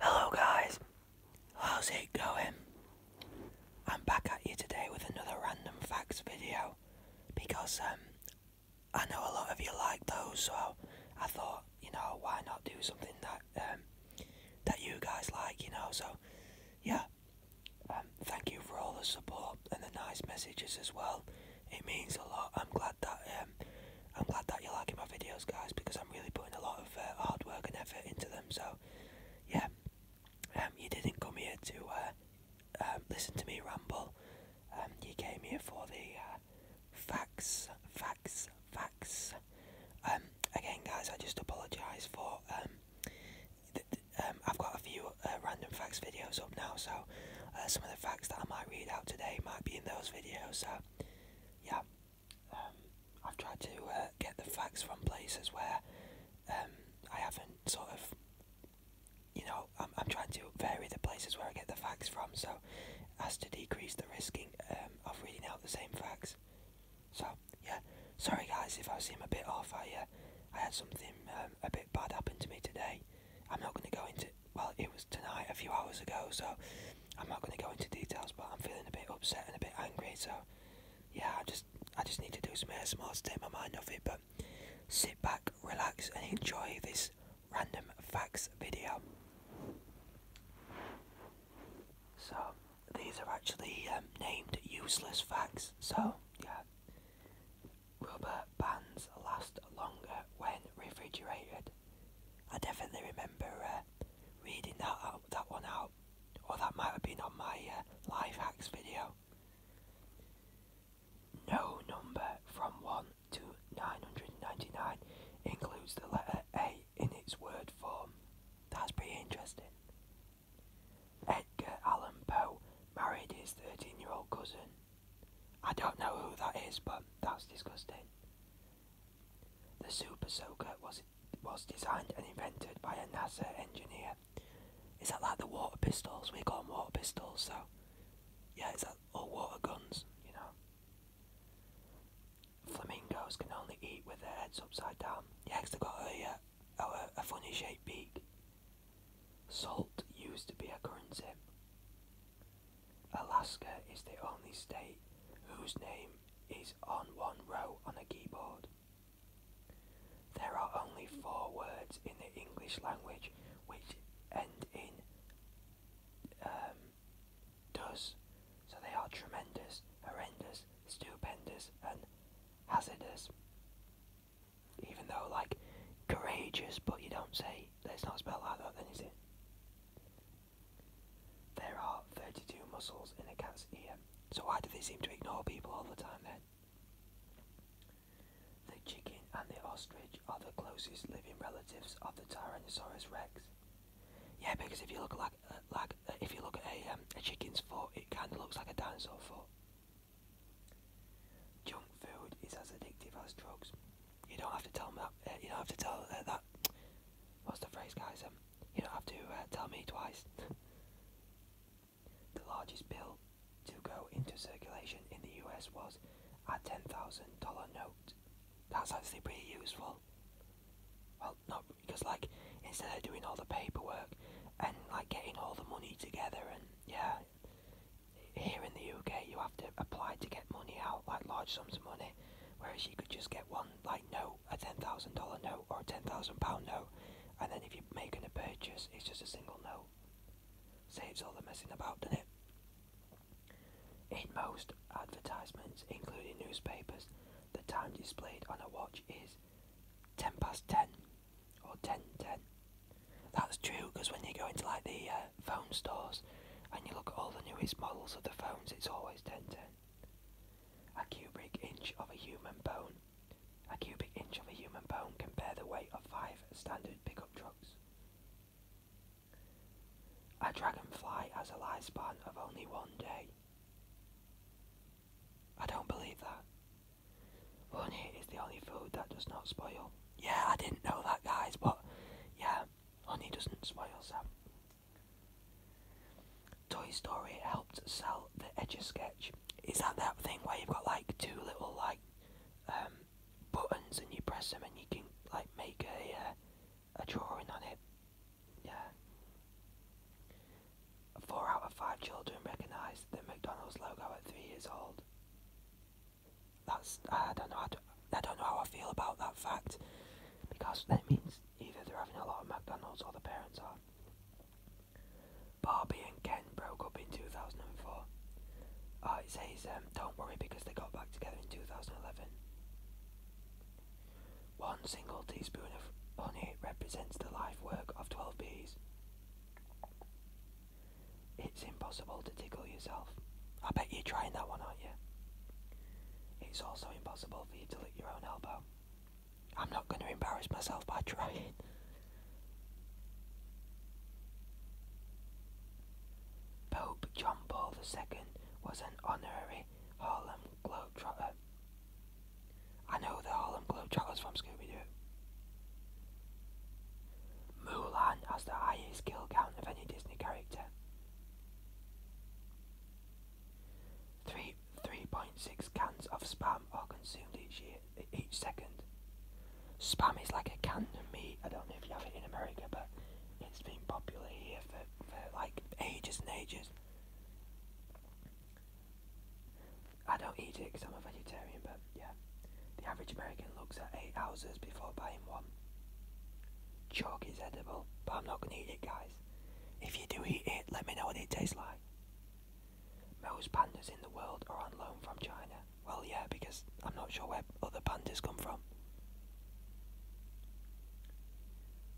Hello guys, how's it going? I'm back at you today with another random facts video because um, I know a lot of you like those so I thought, you know, why not do something that um, that you guys like, you know, so yeah. Um, thank you for all the support and the nice messages as well. It means a lot. I'm glad that um, I'm glad that you're liking my videos, guys, because I'm really putting a lot of uh, hard work and effort into them. So, yeah, um, you didn't come here to uh, um, listen to me ramble. Um, you came here for the uh, facts, facts, facts. again, guys, I just apologise for. I've got a few random facts videos up now, so some of the facts that I might read out today might be in those videos. So, yeah, um, I've tried to uh, get the facts from places where um, I haven't sort of, you know, I'm, I'm trying to vary the places where I get the facts from so as to decrease the risking um, of reading out the same facts. So, yeah, sorry guys if I seem a bit off. I, uh, I had something a bit bad happen to me today. I'm not going to go into well, it was tonight, a few hours ago, so I'm not going to go into details. But I'm feeling a bit upset and a bit angry. So yeah, I just I just need to do some ASMR to take my mind off it. But sit back, relax, and enjoy this random facts video. So these are actually um, named useless facts. So yeah, rubber bands last longer when refrigerated. I definitely remember uh, reading that that one out, or that might have been on my uh, life hacks video. No number from one to nine hundred ninety nine includes the letter A in its word form. That's pretty interesting. Edgar Allan Poe married his 13 year old cousin. I don't know who that is, but that's disgusting. The Super Soaker was was designed and invented by a NASA engineer. Is that like the water pistols? We got? them water pistols, so yeah, it's like all water guns, you know. Flamingos can only eat with their heads upside down. Yeah, they they've got uh, a, a funny shaped beak. Salt used to be a currency. Alaska is the only state whose name is on one row on a keyboard. There are only four words in the English language which end in um, does, so they are tremendous, horrendous, stupendous, and hazardous. Even though, like, courageous, but you don't say There's it's not spelled like that, then is it? There are 32 muscles in a cat's ear, so why do they seem to ignore people all the time then? The chicken and the ostrich are the closest living relatives of the Tyrannosaurus rex. Yeah, because if you look like uh, like uh, if you look at a, um, a chicken's foot, it kind of looks like a dinosaur foot. Junk food is as addictive as drugs. You don't have to tell me. Uh, you don't have to tell uh, that. What's the phrase, guys? Um, you don't have to uh, tell me twice. the largest bill to go into circulation in the U.S. was a ten thousand dollar note. That's actually pretty useful. Well, not because like instead of doing all the paperwork and like getting all the money together and yeah, here in the UK you have to apply to get money out like large sums of money whereas you could just get one like note, a ten thousand dollar note or a ten thousand pound note, and then if you're making a purchase, it's just a single note. Saves all the messing about, doesn't it? In most advertisements, including newspapers, the time displayed on a watch is ten past ten or ten ten. That's true because when you go into like the uh, phone stores and you look at all the newest models of the phones, it's always 1010. A cubic inch of a human bone. A cubic inch of a human bone can bear the weight of five standard pickup trucks. A dragonfly has a lifespan of only one day. I don't believe that. Honey is the only food that does not spoil. Yeah, I didn't know that, guys, but yeah, Honey doesn't spoil Sam. Toy Story helped sell the Edge of Sketch. Is that that thing where you've got like two little like um, buttons and you press them and you can like make a uh, a drawing on it? Yeah. Four out of five children recognize the McDonald's logo at three years old. That's I don't know. I don't, know how I feel about that fact because that means either they're having a lot of McDonald's or the parents are. Barbie and Ken broke up in 2004. Uh, it says, um, don't worry because they got back together in 2011. One single teaspoon of honey represents the life work of 12 bees. It's impossible to tickle yourself. I bet you're trying that one, aren't you? It's also impossible for you to lick your own elbow. I'm not going to embarrass myself by trying. Pope John Paul II was an honorary Harlem Globetrotter. I know the Harlem Globetrotters from Scooby-Doo. Mulan has the highest skill count of any Disney character Three 3.6 cans of spam are consumed each year, each second. Spam is like a can of meat. I don't know if you have it in America, but it's been popular here for, for like ages and ages. I don't eat it because I'm a vegetarian, but yeah. The average American looks at eight houses before buying one. Chalk is edible, but I'm not going to eat it, guys. If you do eat it, let me know what it tastes like. Most pandas in the world are on loan from China. Well, yeah, because I'm not sure where other pandas come from.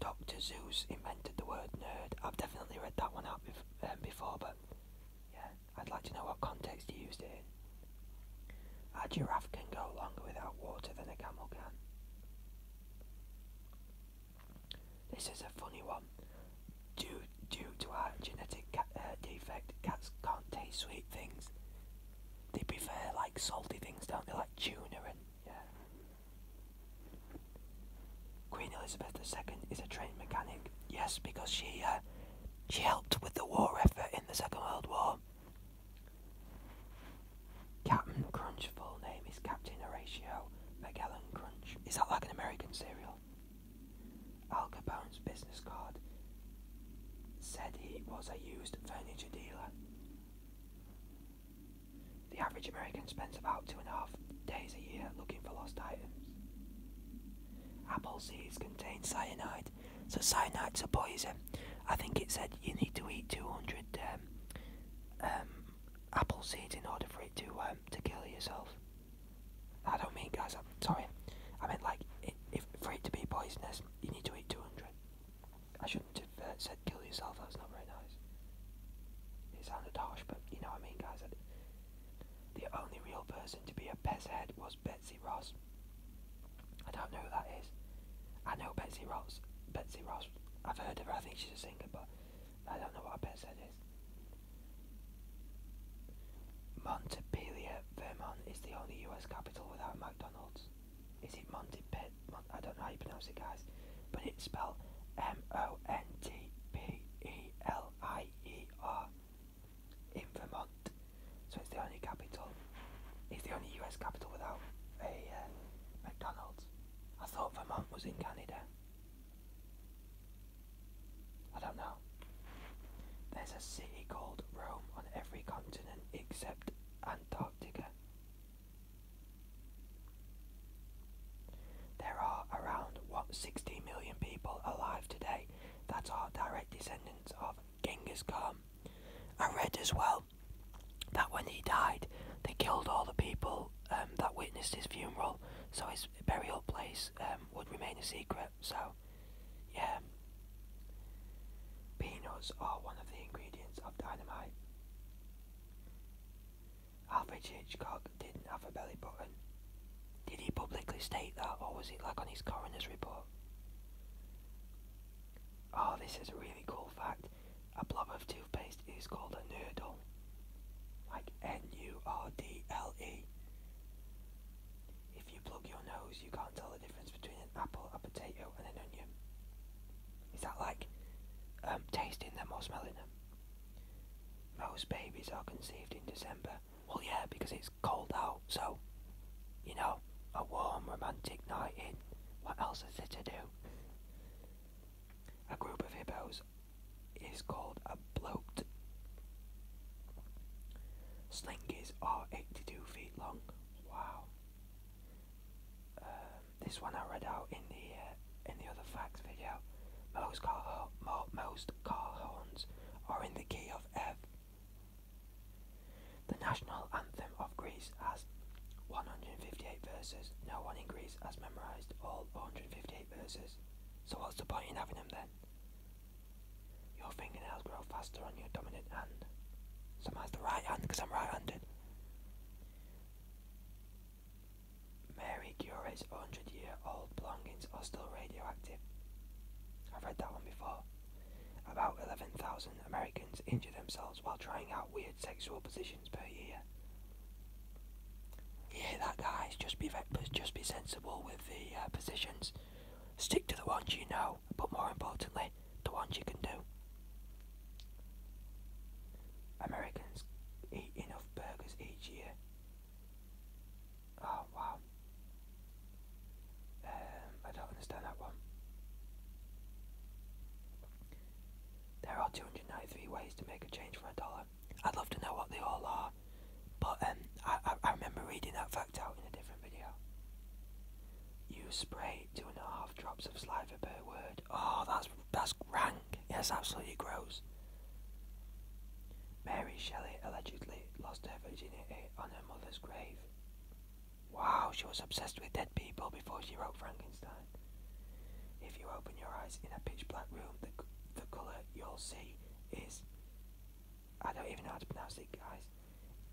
Dr. Zeus invented the word nerd. I've definitely read that one out um, before, but yeah, I'd like to know what context he used it in. A giraffe can go longer without water than a camel can. This is a funny one. Due, due to our genetic uh, defect, cats can't taste sweet things. They prefer like salty things, don't they? Like tuna yeah. Queen Elizabeth II is a trained mechanic. Yes, because she uh, she helped with the war effort in the Second World War. Captain Crunch full name is Captain Horatio Magellan Crunch. Is that like an American cereal? Al Capone's business card said he was a used furniture dealer. The average American spends about two and a half days a year looking for lost items. Apple seeds contain cyanide. So cyanide's a poison. I think it said you need to eat 200 um, um, apple seeds in order for it to um, to kill yourself. I don't mean guys. I'm sorry. I meant like if for it to be poisonous, you need to eat 200. I shouldn't have uh, said kill yourself. That was not very nice. It sounded harsh, but you know what I mean, guys. The only real person to be a pest head was B Betsy Ross. I don't know who that is. I know Betsy Ross. Betsy Ross. I've heard of her. I think she's a singer, but I don't know what a Betsy is. Montpelier, Vermont is the only US capital without McDonald's. Is it Montpelier? I don't know how you pronounce it, guys. But it's spelled M-O-N-T-P-E-L-I-E-R in Vermont. So it's the only capital. It's the only US capital without a uh, McDonald's. I thought Vermont was in Canada. I don't know. There's a city called Rome on every continent except Antarctica. There are around, what, 60 million people alive today That's our direct descendants of Genghis Khan. I read as well that when he died, they killed all the people um, that witnessed his funeral, so his burial place um, would remain a secret. So, yeah. Peanuts are one of the ingredients of dynamite. Alfred Hitchcock didn't have a belly button. Did he publicly state that, or was it like on his coroner's report? Oh, this is a really cool fact. A blob of toothpaste is called a nurdle. Like N-U-R-D-L-E. If you plug your nose, you can't tell the difference between an apple, a potato, and an onion. Is that like um, tasting them or smelling them? Most babies are conceived in December. Well, yeah, because it's cold out, so you know, a warm, romantic night in. What else is there to do? A group of hippos is called a bloat. Slingies are 82 feet long. Wow. Um, this one I read out in the uh, in the other facts video. Most car most car horns are in the key of F. The national anthem of Greece has 158 verses. No one in Greece has memorized all 158 verses. So what's the point in having them then? Your fingernails grow faster on your dominant hand. So mine's the right hand because I'm right-handed. Mary Curie's 100-year-old belongings are still radioactive. I've read that one before. About 11,000 Americans injure themselves while trying out weird sexual positions per year. Yeah, that guys, just be just be sensible with the uh, positions. Stick to the ones you know, but more importantly, the ones you can do. Americans eat enough burgers each year. Oh wow. Um, I don't understand that one. There are 293 ways to make a change for a dollar. I'd love to know what they all are, but um, I, I remember reading that fact out in a different video. You spray two and a half drops of saliva per word. Oh, that's that's rank. Yes, absolutely gross. Mary Shelley allegedly lost her virginity on her mother's grave. Wow, she was obsessed with dead people before she wrote Frankenstein. If you open your eyes in a pitch black room, the, the colour you'll see is. I don't even know how to pronounce it, guys.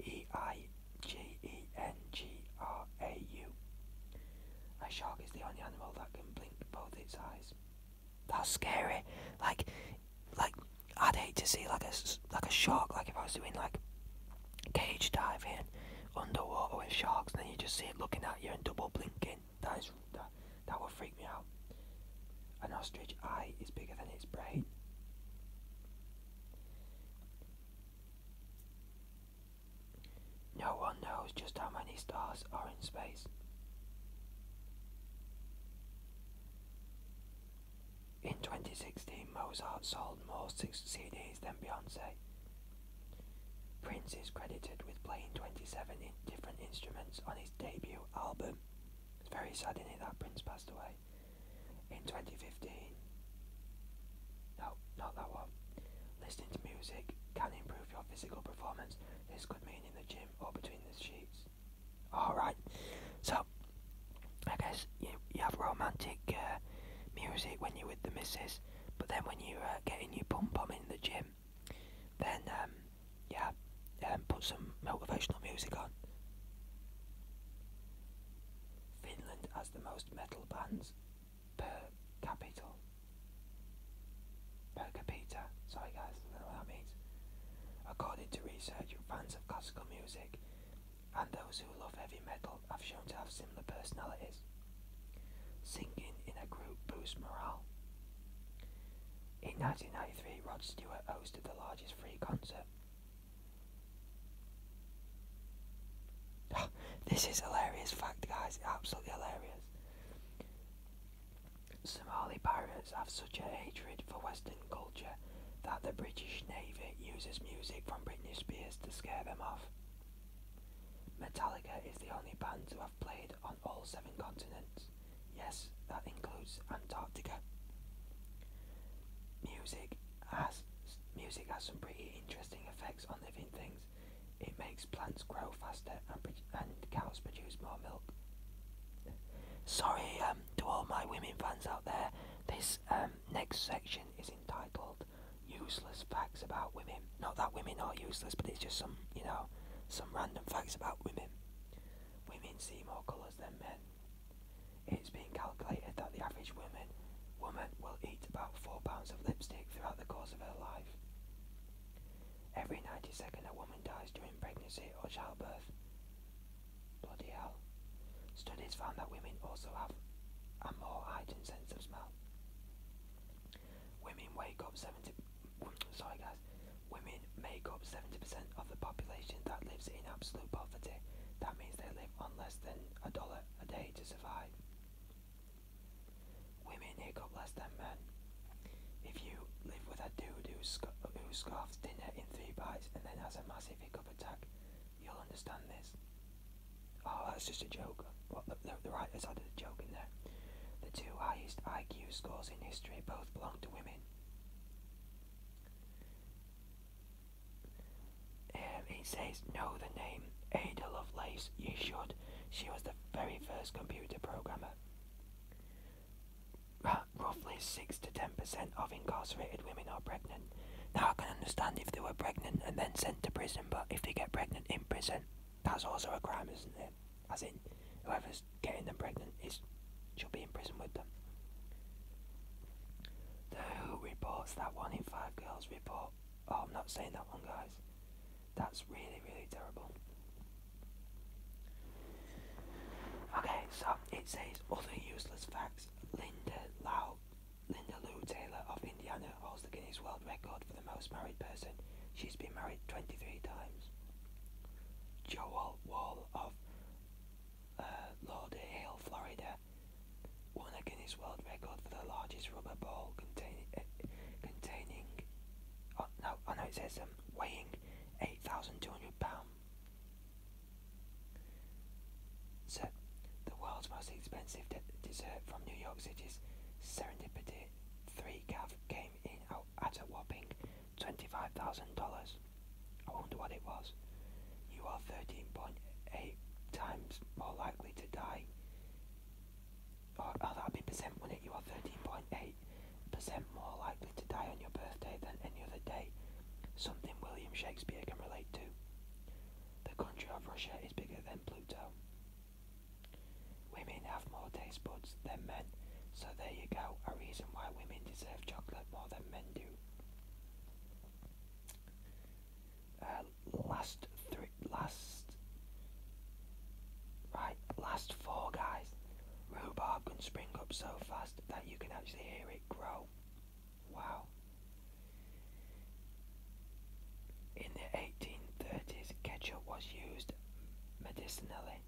E I G E N G R A U. A shark is the only animal that can blink both its eyes. That's scary. Like, like I'd hate to see like a like a shark. Like if I was doing like cage diving underwater with sharks, and then you just see it looking at you and double blinking. That is that, that would freak me out. An ostrich eye is bigger than its brain. No one knows just how many stars are in space. In 2016, Mozart sold more CDs than Beyonce. Prince is credited with playing 27 different instruments on his debut album. It's very sad, isn't that Prince passed away in 2015. No, not that one. Listening to music can improve your physical performance. This could mean in the gym or between the sheets. Alright. So, I guess you, you have romantic uh, music when you're with the missus, but then when you're uh, getting your pom pom in the gym, then um, yeah, um, put some motivational music on. Finland has the most metal bands per capita. Per capita, sorry guys, I don't know what that means. According to research, you're fans of classical music and those who love heavy metal have shown to have similar personalities. Singing in a group boosts morale. In 1993, Rod Stewart hosted the largest free concert. Ah, this is hilarious fact, guys. Absolutely hilarious. Somali pirates have such a hatred for Western culture that the British Navy uses music from British Spears to scare them off. Metallica is the only band to have played on all seven continents. Yes, that includes Antarctica. Music has music has some pretty interesting effects on living things. It makes plants grow faster and, and cows produce more milk. Sorry um, to all my women fans out there. This um, Next section is entitled Useless Facts About Women. Not that women are useless, but it's just some, you know, some random facts about women. Women see more colours than men. It's been calculated that the average woman woman will eat about four pounds of lipstick throughout the course of her life. Every 90 second a woman dies during pregnancy or childbirth. Bloody hell. Studies found that women also have a more heightened sense of smell. Women wake up 70 sorry guys. Women make up 70% of the population that lives in absolute poverty. That means they live on less than a dollar a day to survive. Women make up less than men. If you live with a dude who, who scarfs dinner in three bites and then has a massive hiccup attack, You'll understand this. Oh, that's just a joke. the, writers added a joke in there. The two highest IQ scores in history both belong to women. Um, it says, know the name Ada Lovelace. You should. She was the very first computer programmer. Roughly six to ten percent of incarcerated women are pregnant. Now, I can understand if they were pregnant and then sent to prison, but if they get pregnant in prison, that's also a crime, isn't it? As in, whoever's getting them pregnant is should be in prison with them. The Who reports that one in five girls report. Oh, I'm not saying that one, guys. That's really, really terrible. Okay, so it says other useless facts. Linda Lau Linda Lou Taylor of Indiana holds the Guinness World Record for the most married person. She's been married 23 times. Joel Wall of uh, Lauderdale, Florida, won a Guinness World Record for the largest rubber ball eh, containing, oh, no, I oh, know it says um, weighing 8,200 pounds so, the world's most expensive dessert from New York City's Serendipity 3 Cav came in at a whopping $25,000. I wonder what it was. You are 13.8 times more likely to die. Or, oh, that percent, would it? You are 13.8% more likely to die on your birthday than any other day. Something William Shakespeare can relate to. The country of Russia is bigger than Pluto. Women have more taste buds than men, so there you go, a reason why women deserve chocolate more than men do. Uh, last three, last, right, last four guys. Rhubarb can spring up so fast that you can actually hear it grow. Wow. In the 1830s, ketchup was used medicinally.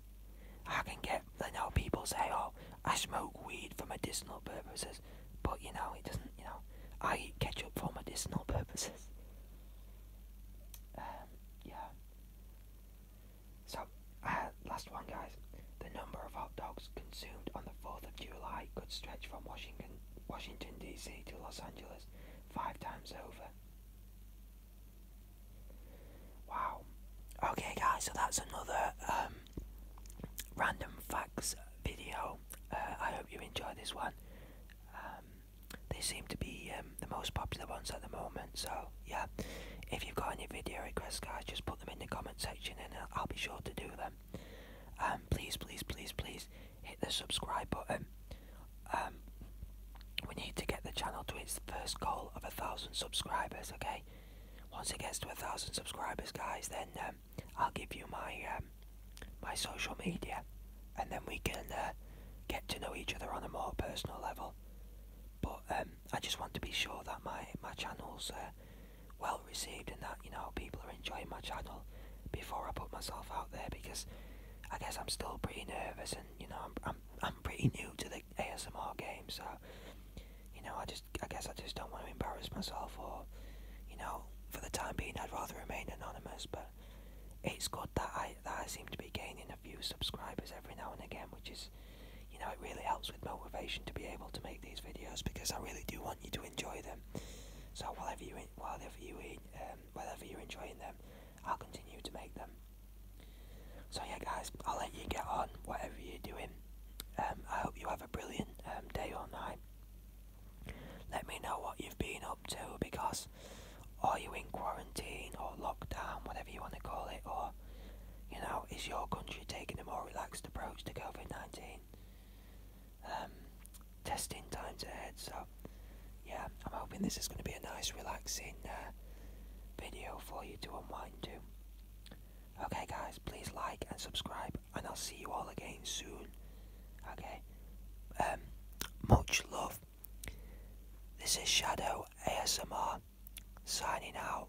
I can get, You know people say, oh, I smoke weed for medicinal purposes, but you know, it doesn't, you know, I eat ketchup for medicinal purposes. Um, yeah. So, uh, last one, guys. The number of hot dogs consumed on the 4th of July could stretch from Washington, Washington D.C. to Los Angeles five times over. Wow. Okay, guys, so that's another um, random facts video. Uh, I hope you enjoyed this one. Um, they seem to be um, the most popular ones at the moment, so yeah. If you've got any video requests, guys, just put them in the comment section and I'll be sure to do them. Um, please, please, please, please hit the subscribe button. Um, we need to get the channel to its first goal of a thousand subscribers. Okay, once it gets to a thousand subscribers, guys, then um, I'll give you my my social media, and then we can uh, get to know each other on a more personal level. But I just want to be sure that my my channel's uh, well received and that, you know, people are enjoying my channel before I put myself out there because I guess I'm still pretty nervous and, you know, I'm, I'm, pretty new to the ASMR game, so, you know, I just, I guess I just don't want to embarrass myself or, you know, for the time being I'd rather remain anonymous, but it's good that I, that I seem to be gaining a few subscribers every now and again, which is, you know, it really helps motivation to be able to make these videos because I really do want you to enjoy them. So whatever you whatever you um, whatever you're enjoying them, I'll continue to make them. So yeah, guys, I'll let you get on whatever you're doing. Um, I hope you have a brilliant um, day or night. Let me know what you've been up to because are you in quarantine or lockdown, whatever you want to call it, or you know, is your country taking a more relaxed approach to COVID 19? Um, testing times ahead, so yeah, I'm hoping this is going to be a nice, relaxing uh, video for you to unwind to. Okay, guys, please like and subscribe, and I'll see you all again soon. Okay, um, much love. This is Shadow ASMR signing out.